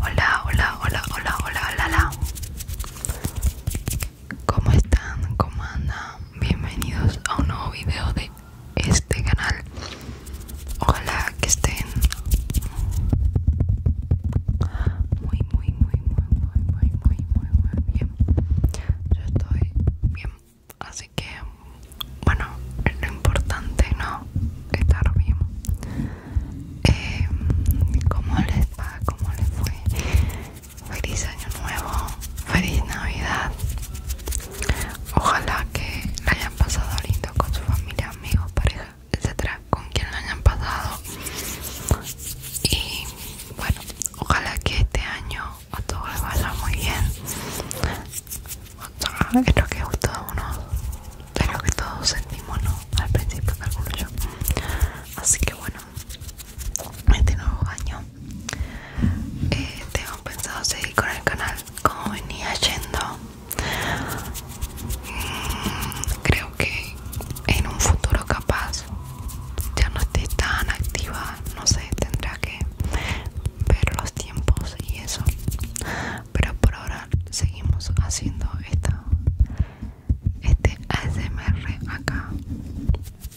Hola, hola, hola, hola, hola, hola, ¿Cómo están? ¿Cómo andan? Bienvenidos a un nuevo video de este canal. Ojalá que estén muy muy muy muy muy muy muy muy muy bien yo estoy bien así que bueno es lo importante no estar bien em, cómo les va cómo les fue feliz año nuevo feliz navidad ojalá que la hayan pasado lindo con su familia amigos pareja etcétera, con quien lo hayan pasado. Y bueno, ojalá que este año a todos les vaya muy bien. Creo que justo uno lo que todos sentimos, Al principio del yo. Así que bueno, este nuevo año tengo este, pensado seguir con el canal como venía yendo. Mm, creo que en un futuro capaz ya no esté tan activa, no sé, tendrá que ver los tiempos y eso. Pero por ahora seguimos haciendo esta, este ASMR acá.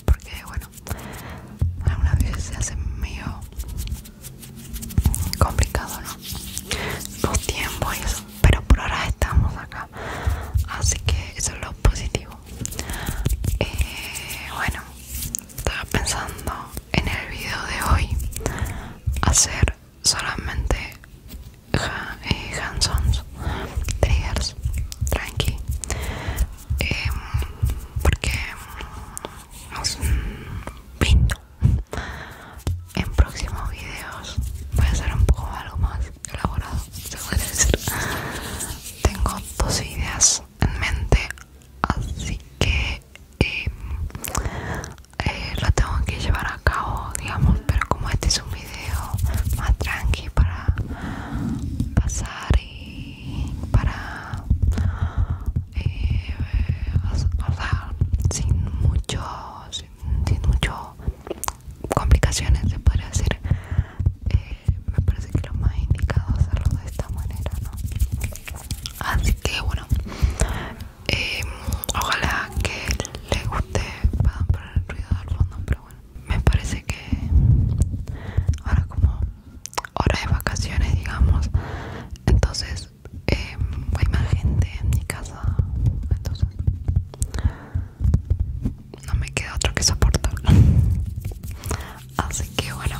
Porque bueno, algunas veces se hace medio complicado, ¿no? Los tiempos y eso. Pero por ahora estamos acá así que eso es lo positivo eh, bueno estaba pensando en el video de hoy hacer solamente ja, eh, triggers tranqui em, porque mm, pinto en próximos videos voy a hacer un poco algo más elaborado, se decir. Tengo dos ideas en mente, así que em, eh, lo tengo que llevar a cabo, digamos, pero como este es un video más tranqui para pasar y para eh, sin mucho sin muchas complicaciones se podría decir eh, me parece que lo más indicado hacerlo de esta manera ¿no? así que bueno em, ojalá que le guste perdón por el ruido del fondo pero bueno me parece que ahora como hora de vacaciones digamos entonces em, hay más gente en mi casa entonces no me queda otro que soportarlo. Así que bueno,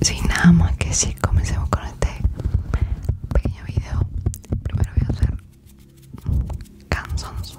sin nada más que decir, comencemos con este pequeño video. Primero voy a hacer cansons.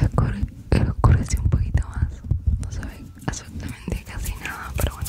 Escure, escureció un poquito más, no se ve absolutamente casi nada, pero bueno.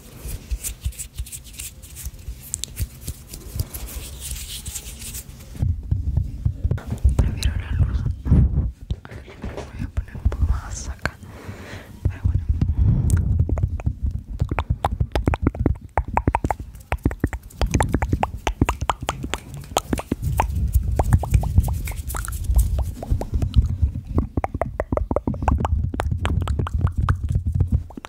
para ver una luz voy a poner un poco más acá pero bueno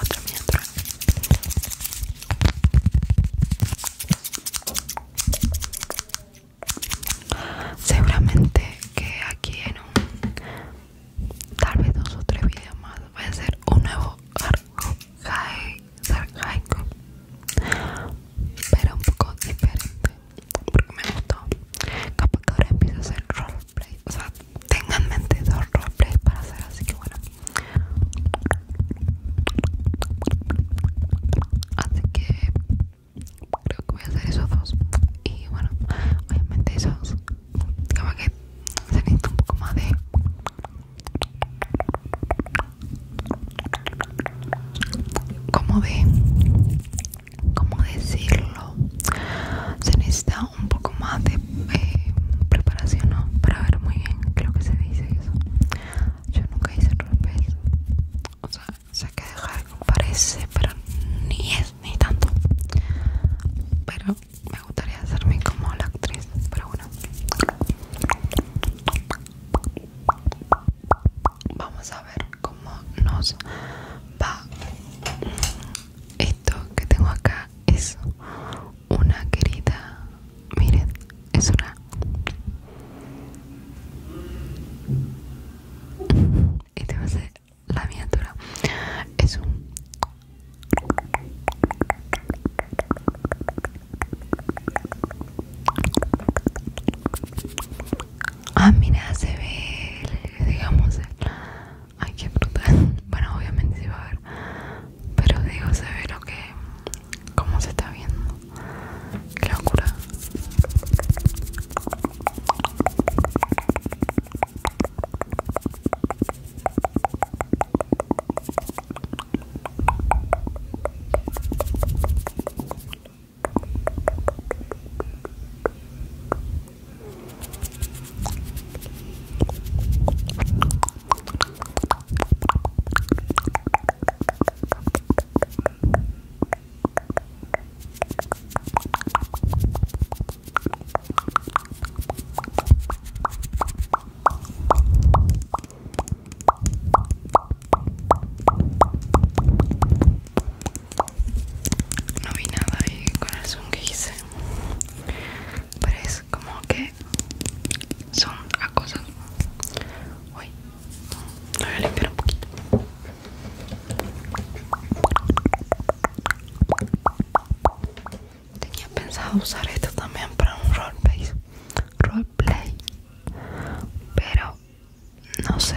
Otra mientras. Seguramente que aquí en un tal vez dos o tres videos más voy a hacer un nuevo arco sarcaico pero un poco diferente porque me gustó capaz que ahora empiezo a hacer roleplay o Tengan en mente dos para hacer, así que bueno. Así que creo que voy a hacer esos dos. Y bueno, obviamente esos, como que se necesita un poco más de como de cómo decirlo se necesita un poco más de eh, preparación para ver muy bien creo que se dice eso yo nunca hice rol pues. o sea sé que dejar parece pero ni es ni tanto pero me gustaría hacerme como la actriz pero bueno vamos a ver cómo nos va esto que tengo acá es una querida miren es una y te va a hacer la miniatura es un ah mira se ve digamos Ay, qué brutal. Bueno, obviamente se va a ver. Pero digo, se ve lo que. Cómo se está viendo. Qué locura. No vi nada de corazón que hice. pero Parece como que son cosas Uy, No, voy a limpiar un poquito. Tenía pensado usar esto también para un roleplay, roleplay pero no sé.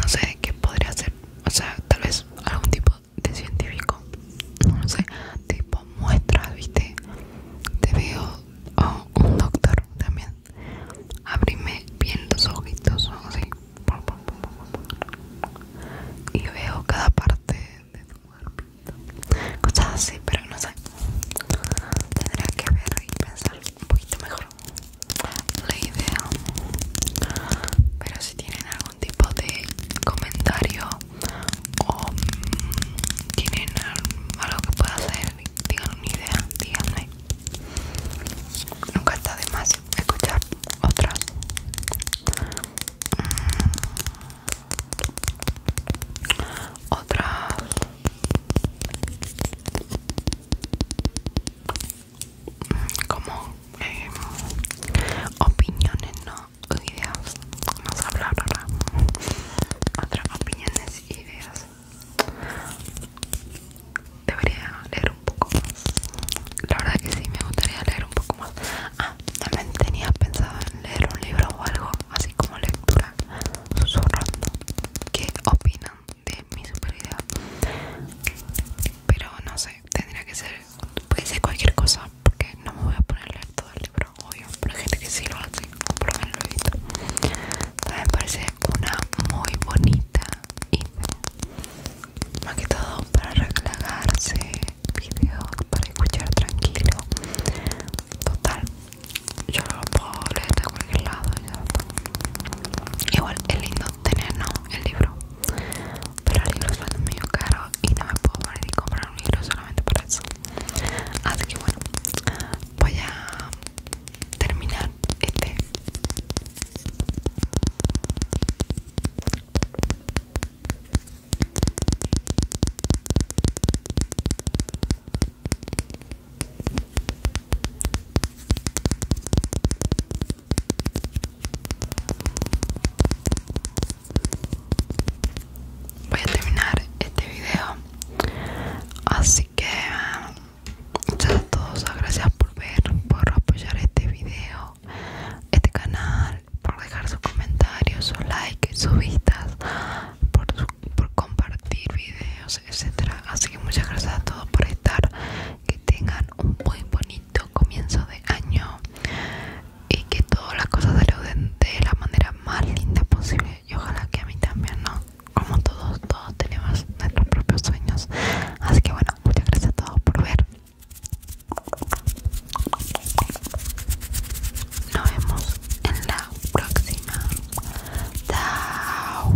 no sé qué podría hacer, o sea, tal vez algún tipo de científico, no sé, tipo muestra viste, te veo, o un doctor también, abrime bien los ojitos, o así, y veo cada parte de tu cuerpo, cosas así, pero no sé, tendría que ver y pensar un poquito mejor la idea pero si tienen algún tipo de comentario o mm, tienen algo que pueda hacer tengan una idea díganme nunca está de más escuchar otras mm, otras como em, opiniones, no ideas. Vamos a hablar ahora. Otras opiniones y ideas. Debería leer un poco más. La verdad que sí, me gustaría leer un poco más. Ah, también tenía pensado en leer un libro o algo así como lectura susurrando. ¿Qué opinan de mi super pero no sé tendría que ser cualquier cosa porque no me voy a poner a leer todo el libro obvio pero hay gente que sí lo hace comprobarlo Me parece una muy bonita y más que todo para relajarse video para escuchar tranquilo total yo lo puedo leer de cualquier lado Igual es lindo tener el libro, pero el libro ser medio caro y no me puedo poner y comprar un libro solamente para eso. Así que bueno, voy a terminar este. Voy a terminar este video. Así que muchas um, a todos, gracias por ver, por apoyar este video, este canal, por dejar sus comentarios, sus likes, sus vistas, por, por compartir videos, etcétera. Así que muchas gracias a todos por estar que tengan un muy bonito comienzo de año y que todas las cosas salgan de la manera más linda posible y ojalá que a mí también, ¿no? Como todos, todos tenemos nuestros propios sueños. Así que bueno, muchas gracias a todos por ver. Nos vemos en la próxima. Chao.